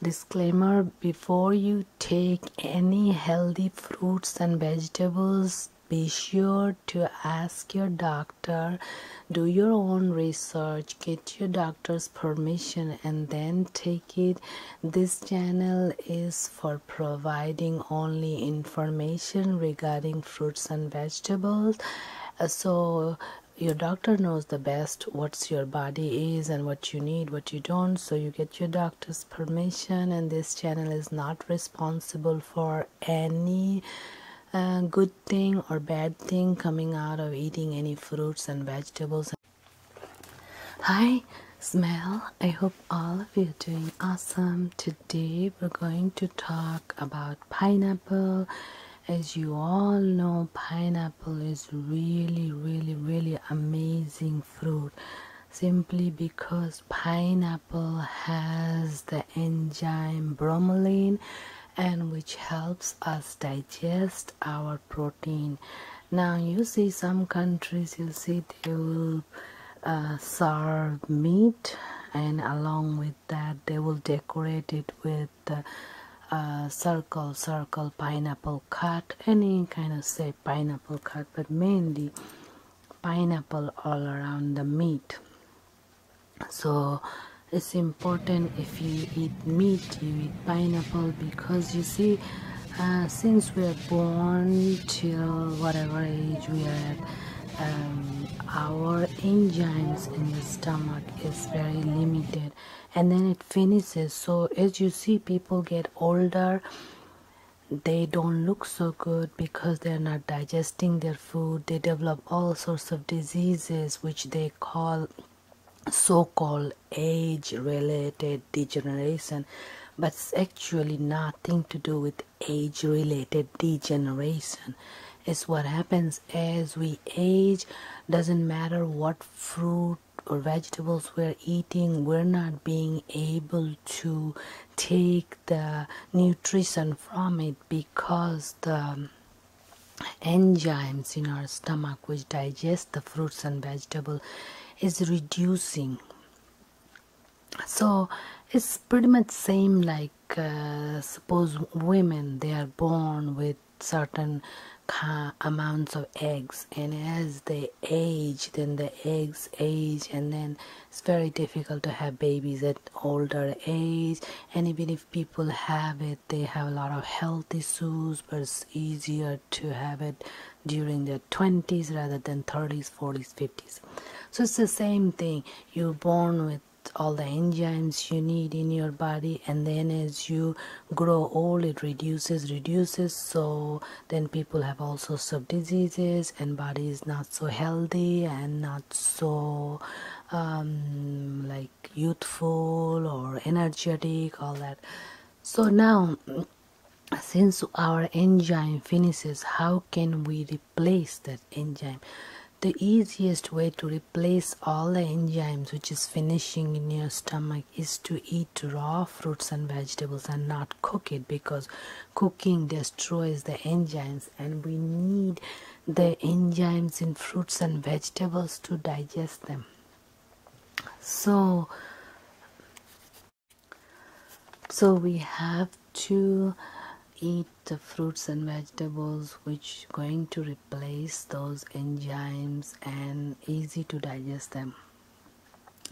Disclaimer Before you take any healthy fruits and vegetables, be sure to ask your doctor, do your own research, get your doctor's permission, and then take it. This channel is for providing only information regarding fruits and vegetables. So, your doctor knows the best what's your body is and what you need what you don't so you get your doctor's permission and this channel is not responsible for any uh, good thing or bad thing coming out of eating any fruits and vegetables hi smell i hope all of you are doing awesome today we're going to talk about pineapple as you all know pineapple is really really really amazing fruit simply because pineapple has the enzyme bromelain and which helps us digest our protein now you see some countries you see they will uh, serve meat and along with that they will decorate it with the uh, circle circle pineapple cut any kind of say pineapple cut but mainly pineapple all around the meat so it's important if you eat meat you eat pineapple because you see uh, since we are born till whatever age we are at um, our enzymes in the stomach is very limited and then it finishes so as you see people get older they don't look so good because they're not digesting their food they develop all sorts of diseases which they call so-called age related degeneration but it's actually nothing to do with age related degeneration it's what happens as we age doesn't matter what fruit or vegetables we're eating we're not being able to take the nutrition from it because the enzymes in our stomach which digest the fruits and vegetables is reducing so it's pretty much same like because uh, suppose women they are born with certain amounts of eggs and as they age then the eggs age and then it's very difficult to have babies at older age and even if people have it they have a lot of health issues but it's easier to have it during their 20s rather than 30s 40s 50s so it's the same thing you're born with all the enzymes you need in your body and then as you grow old it reduces reduces so then people have also sorts diseases and body is not so healthy and not so um, like youthful or energetic all that so now since our enzyme finishes how can we replace that enzyme the easiest way to replace all the enzymes which is finishing in your stomach is to eat raw fruits and vegetables and not cook it because cooking destroys the enzymes and we need the enzymes in fruits and vegetables to digest them so so we have to eat the fruits and vegetables which going to replace those enzymes and easy to digest them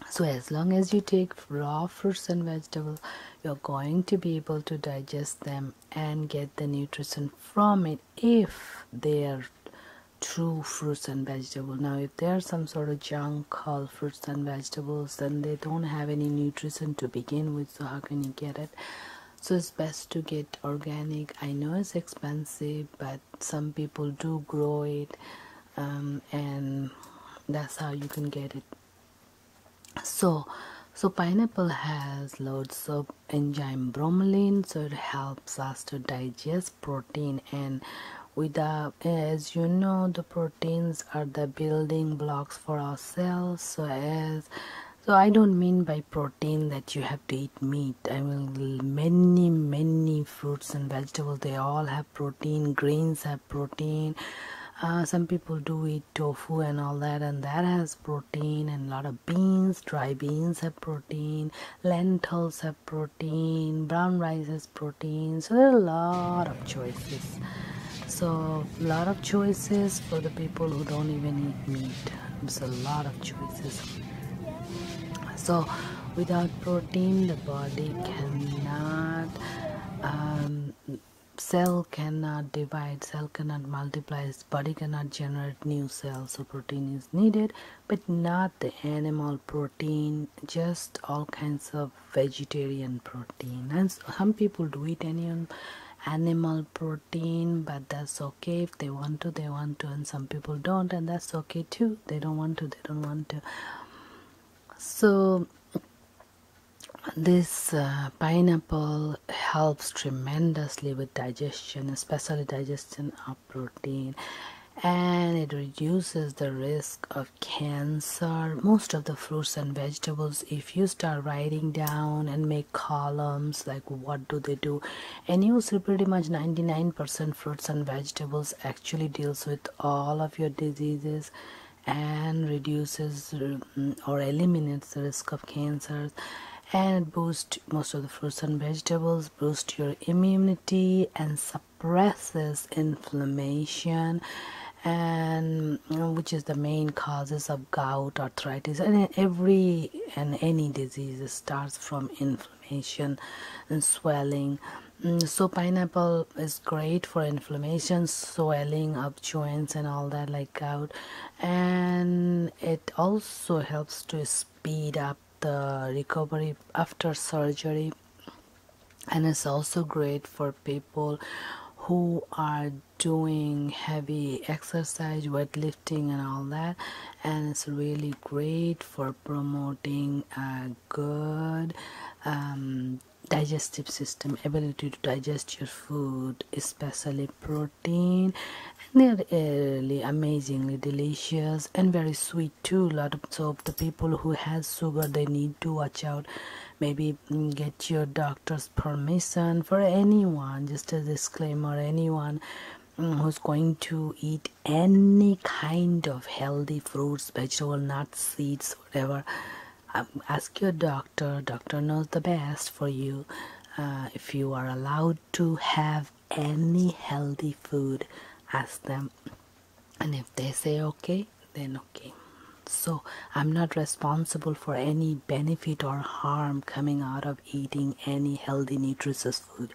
so as long as you take raw fruits and vegetables you're going to be able to digest them and get the nutrition from it if they are true fruits and vegetables now if they are some sort of junk called fruits and vegetables then they don't have any nutrition to begin with so how can you get it so it's best to get organic i know it's expensive but some people do grow it um, and that's how you can get it so so pineapple has loads of enzyme bromelain so it helps us to digest protein and with the, as you know the proteins are the building blocks for ourselves so i don't mean by protein that you have to eat meat i mean many many fruits and vegetables they all have protein grains have protein uh, some people do eat tofu and all that and that has protein and a lot of beans dry beans have protein lentils have protein brown rice has protein so there are a lot of choices so a lot of choices for the people who don't even eat meat there's a lot of choices so without protein the body cannot um, cell cannot divide cell cannot multiply body cannot generate new cells so protein is needed but not the animal protein just all kinds of vegetarian protein and some people do eat any animal protein but that's okay if they want to they want to and some people don't and that's okay too they don't want to they don't want to so this uh, pineapple helps tremendously with digestion especially digestion of protein and it reduces the risk of cancer most of the fruits and vegetables if you start writing down and make columns like what do they do and you see pretty much 99% fruits and vegetables actually deals with all of your diseases and reduces mm, or eliminates the risk of cancers and boost most of the fruits and vegetables boost your immunity and suppresses inflammation and which is the main causes of gout arthritis and every and any disease starts from inflammation and swelling mm, so pineapple is great for inflammation swelling of joints and all that like gout and it also helps to speed up the recovery after surgery and it's also great for people who are doing heavy exercise weightlifting and all that and it's really great for promoting a good um, digestive system ability to digest your food especially protein and they're really amazingly delicious and very sweet too a lot of so the people who has sugar they need to watch out maybe get your doctor's permission for anyone just a disclaimer anyone mm, who's going to eat any kind of healthy fruits vegetable nuts seeds whatever um, ask your doctor doctor knows the best for you uh, if you are allowed to have any healthy food ask them and if they say okay then okay so i'm not responsible for any benefit or harm coming out of eating any healthy nutritious food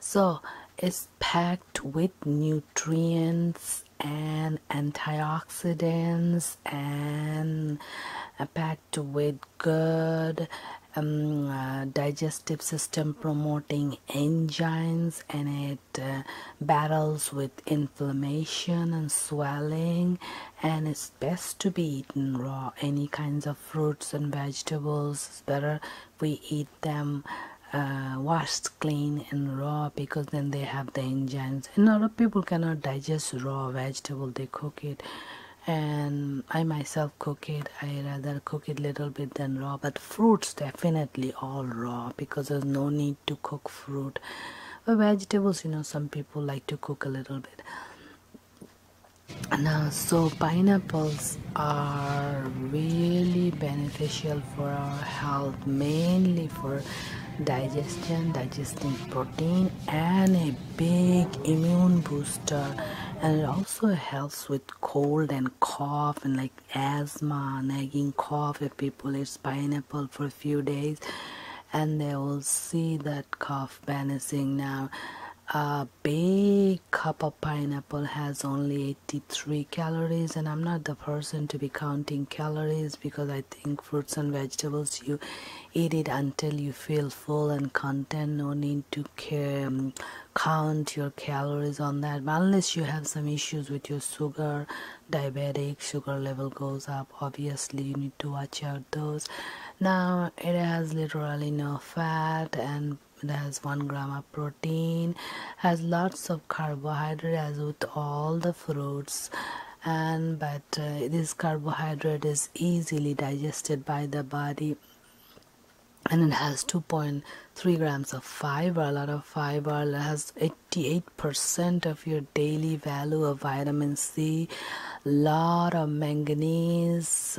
so it's packed with nutrients and antioxidants and uh, packed with good um, uh, digestive system promoting enzymes and it uh, battles with inflammation and swelling and it's best to be eaten raw any kinds of fruits and vegetables it's better we eat them uh, washed clean and raw because then they have the enzymes and a lot of people cannot digest raw vegetable they cook it and I myself cook it. I rather cook it little bit than raw, but fruits definitely all raw because there's no need to cook fruit or vegetables you know some people like to cook a little bit now so pineapples are really beneficial for our health mainly for digestion digesting protein and a big immune booster and it also helps with cold and cough and like asthma nagging cough if people eat pineapple for few days and they will see that cough vanishing now a big cup of pineapple has only 83 calories and i'm not the person to be counting calories because i think fruits and vegetables you eat it until you feel full and content no need to um, count your calories on that unless you have some issues with your sugar diabetic sugar level goes up obviously you need to watch out those now it has literally no fat and it has one gram of protein has lots of carbohydrate as with all the fruits and but uh, this carbohydrate is easily digested by the body and it has 2.3 grams of fiber a lot of fiber it has 88% of your daily value of vitamin C, lot of manganese,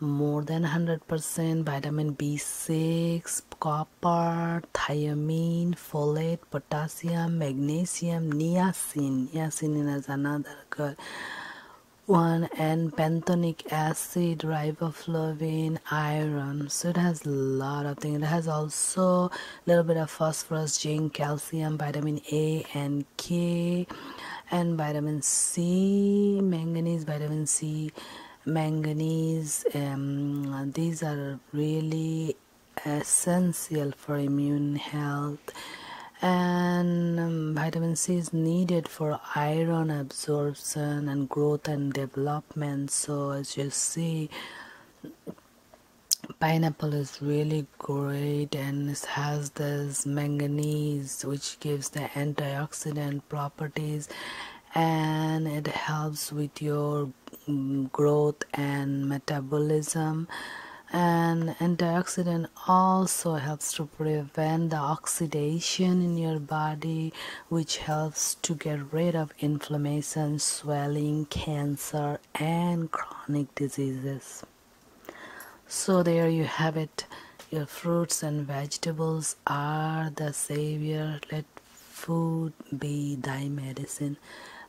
more than 100%, vitamin B6, copper, thiamine, folate, potassium, magnesium, niacin. Niacin is another good one and benthonic acid, riboflavin, iron. So it has a lot of things it has also a little bit of phosphorus zinc calcium vitamin a and k and vitamin c manganese vitamin c manganese um, these are really essential for immune health and um, vitamin C is needed for iron absorption and growth and development so as you see pineapple is really great and it has this manganese which gives the antioxidant properties and it helps with your mm, growth and metabolism and antioxidant also helps to prevent the oxidation in your body which helps to get rid of inflammation, swelling, cancer, and chronic diseases. So, there you have it. Your fruits and vegetables are the savior. Let food be thy medicine.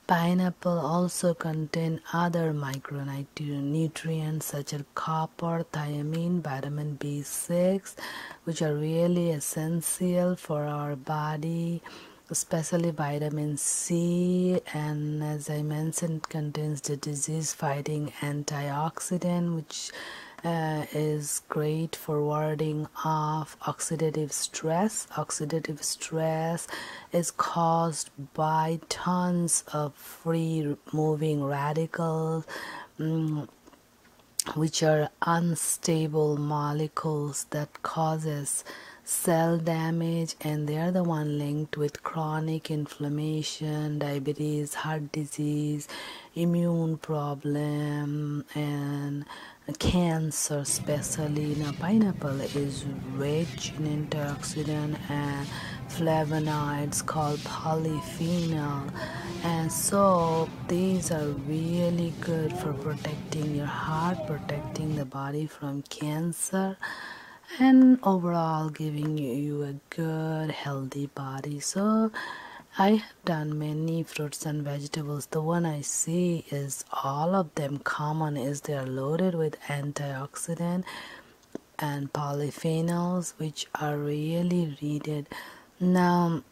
Pineapple also contain other micronutrients such as copper, thiamine, vitamin B6, which are really essential for our body especially vitamin C and as I mentioned contains the disease fighting antioxidant which uh, is great for warding off oxidative stress oxidative stress is caused by tons of free moving radicals mm, which are unstable molecules that causes cell damage and they are the one linked with chronic inflammation diabetes heart disease immune problem and cancer especially now pineapple is rich in antioxidant and flavonoids called polyphenol and so these are really good for protecting your heart protecting the body from cancer and overall giving you a good healthy body so I have done many fruits and vegetables. The one I see is all of them common is they are loaded with antioxidant and polyphenols which are really needed. Now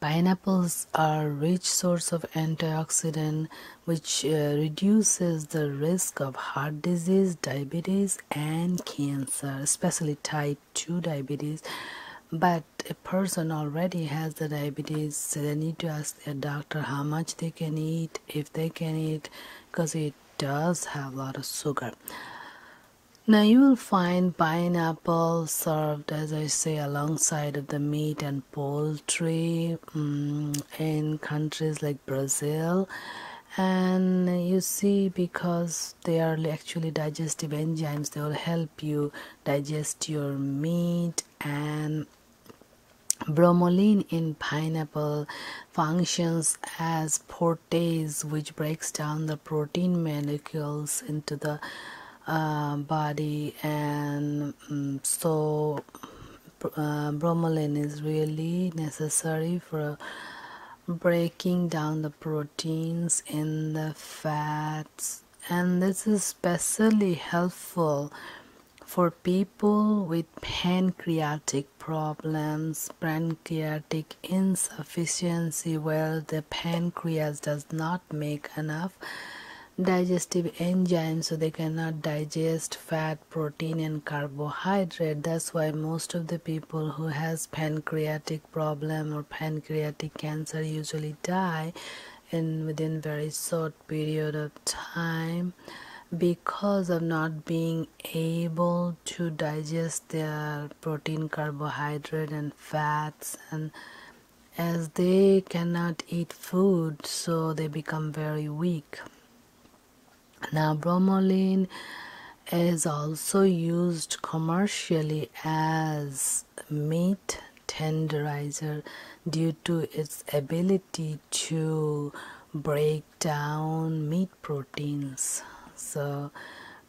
Pineapples are a rich source of antioxidant which uh, reduces the risk of heart disease, diabetes and cancer, especially type 2 diabetes. But a person already has the diabetes, they need to ask their doctor how much they can eat, if they can eat because it does have a lot of sugar. Now you will find pineapple served, as I say, alongside of the meat and poultry mm, in countries like Brazil. And you see, because they are actually digestive enzymes, they will help you digest your meat and bromelain in pineapple functions as port protease which breaks down the protein molecules into the uh, body and mm, so uh, bromelain is really necessary for uh, breaking down the proteins in the fats and this is especially helpful for people with pancreatic problems, pancreatic insufficiency where the pancreas does not make enough digestive enzymes so they cannot digest fat protein and carbohydrate that's why most of the people who has pancreatic problem or pancreatic cancer usually die in within very short period of time because of not being able to digest their protein carbohydrate and fats and as they cannot eat food so they become very weak now bromelain is also used commercially as meat tenderizer due to its ability to break down meat proteins so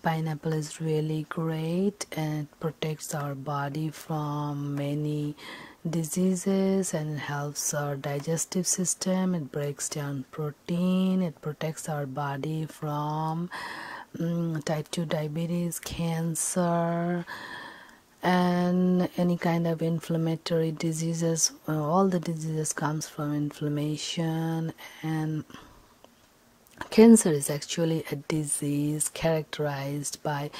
pineapple is really great and protects our body from many diseases and helps our digestive system it breaks down protein it protects our body from mm, type 2 diabetes cancer and any kind of inflammatory diseases all the diseases comes from inflammation and Cancer is actually a disease characterized by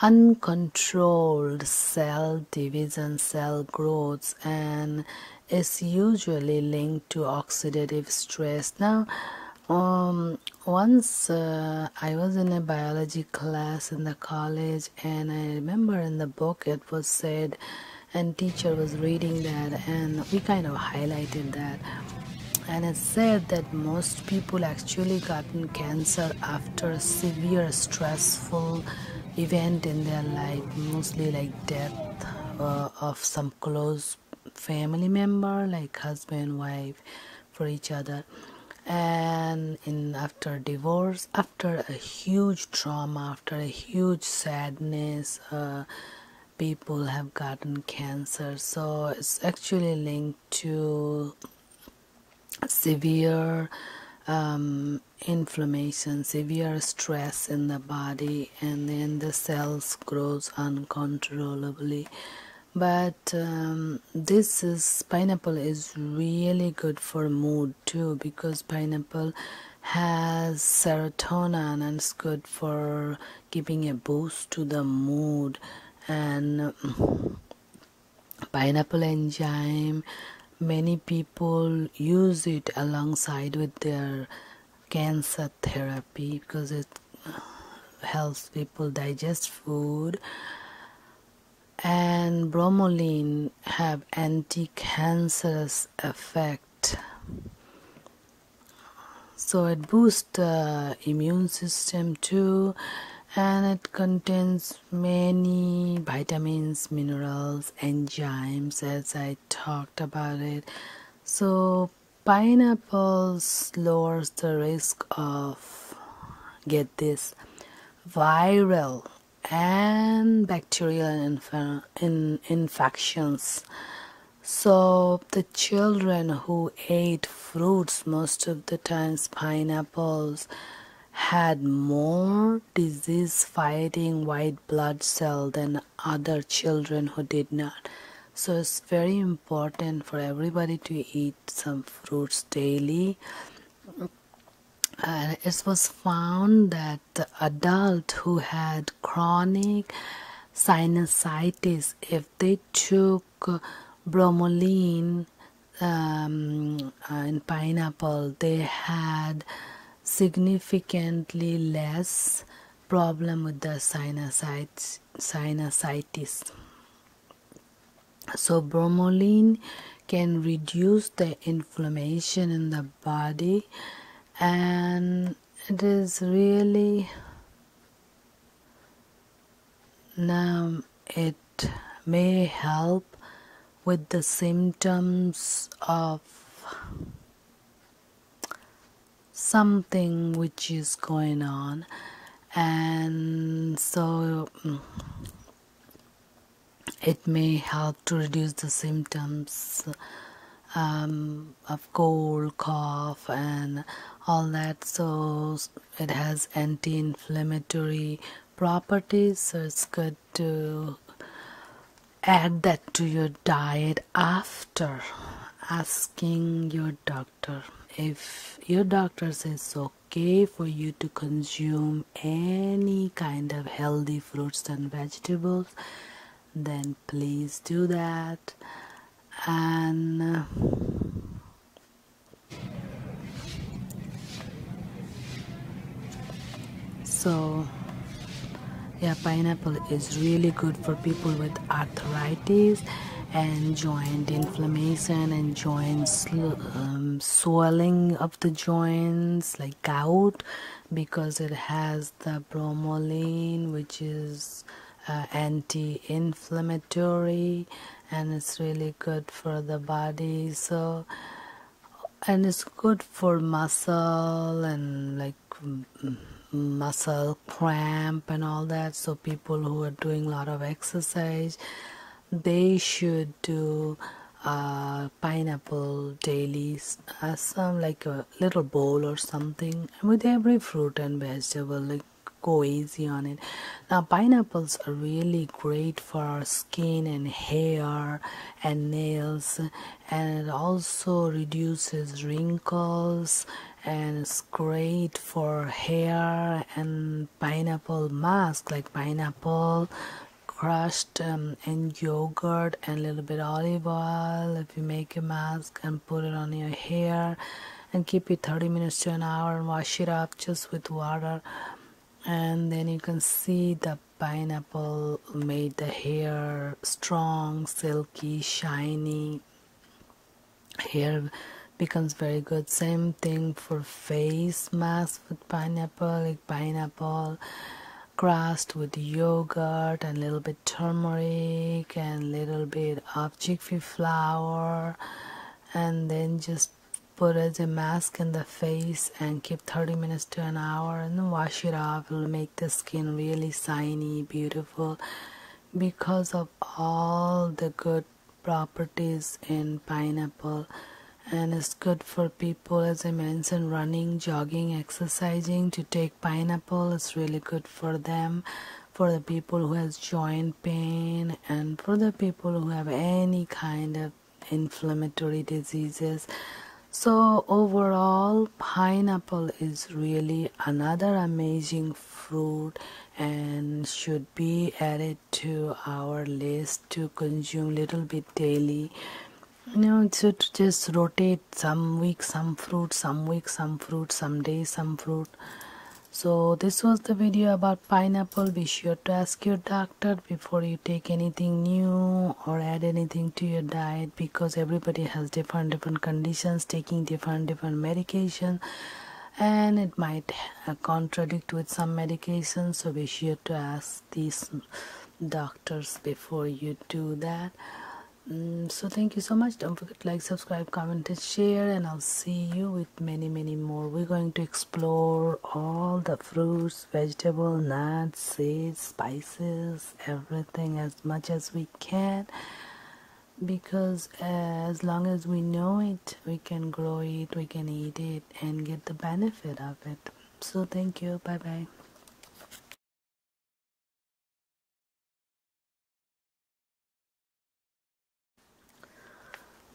uncontrolled cell division, cell growth, and is usually linked to oxidative stress. Now, um, once uh, I was in a biology class in the college, and I remember in the book it was said and teacher was reading that and we kind of highlighted that and it said that most people actually gotten cancer after severe stressful event in their life mostly like death uh, of some close family member like husband wife for each other and in after divorce after a huge trauma after a huge sadness uh, people have gotten cancer so it's actually linked to severe um, inflammation severe stress in the body and then the cells grows uncontrollably but um, this is pineapple is really good for mood too because pineapple has serotonin and it's good for giving a boost to the mood and mm, pineapple enzyme many people use it alongside with their cancer therapy because it uh, helps people digest food and bromelain have anti-cancerous effect so it boosts the immune system too and it contains many vitamins minerals enzymes as i talked about it so pineapples lowers the risk of get this viral and bacterial inf in infections. So the children who ate fruits most of the times pineapples had more disease fighting white blood cell than other children who did not. So it's very important for everybody to eat some fruits daily. Uh, it was found that the adult who had chronic sinusitis, if they took bromelain um, in pineapple, they had significantly less problem with the sinusitis. So, bromelain can reduce the inflammation in the body and it is really now it may help with the symptoms of something which is going on and so mm, it may help to reduce the symptoms um, of cold, cough, and all that. So it has anti inflammatory properties, so it's good to add that to your diet after asking your doctor if your doctor says okay for you to consume any kind of healthy fruits and vegetables then please do that and uh, so yeah pineapple is really good for people with arthritis and joint inflammation and joint um, swelling of the joints like like gout because it has the bromelain which is uh, anti-inflammatory and it's really good for the body so and it's good for muscle and like muscle cramp and all that so people who are doing a lot of exercise they should do uh, pineapple daily uh, some like a little bowl or something with every fruit and vegetable like go easy on it now pineapples are really great for our skin and hair and nails and also reduces wrinkles and it's great for hair and pineapple mask like pineapple crushed um, and yogurt and a little bit olive oil if you make a mask and put it on your hair and keep it 30 minutes to an hour and wash it up just with water and then you can see the pineapple made the hair strong silky shiny hair becomes very good same thing for face mask pineapple, like pineapple crust with yogurt and a little bit turmeric and a little bit of chickpea flour and then just put as a mask in the face and keep 30 minutes to an hour and then wash it off it'll make the skin really shiny beautiful because of all the good properties in pineapple and it's good for people as I mentioned running jogging exercising to take pineapple it's really good for them for the people who has joint pain and for the people who have any kind of inflammatory diseases so overall pineapple is really another amazing fruit and should be added to our list to consume little bit daily you know so to just rotate some week some fruit some week some fruit some days some fruit so this was the video about pineapple be sure to ask your doctor before you take anything new or add anything to your diet because everybody has different different conditions taking different different medications, and it might contradict with some medications. so be sure to ask these doctors before you do that mm, so thank you so much don't forget to like subscribe comment and share and i'll see you with many many more we're going to explore all the fruits vegetable nuts seeds spices everything as much as we can because as long as we know it we can grow it we can eat it and get the benefit of it. So, thank you. Bye bye.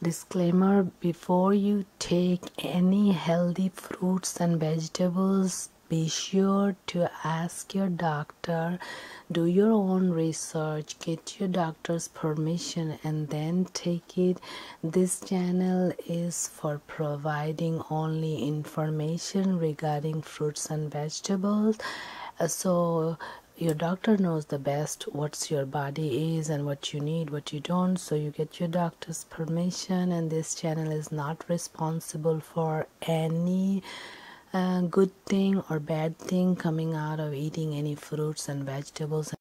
Disclaimer Before you take any healthy fruits and vegetables, be sure to ask your doctor, do your own research, get your doctor's permission and then take it this channel is for providing only information regarding fruits and vegetables uh, so your doctor knows the best what your body is and what you need what you don't so you get your doctor's permission and this channel is not responsible for any uh, good thing or bad thing coming out of eating any fruits and vegetables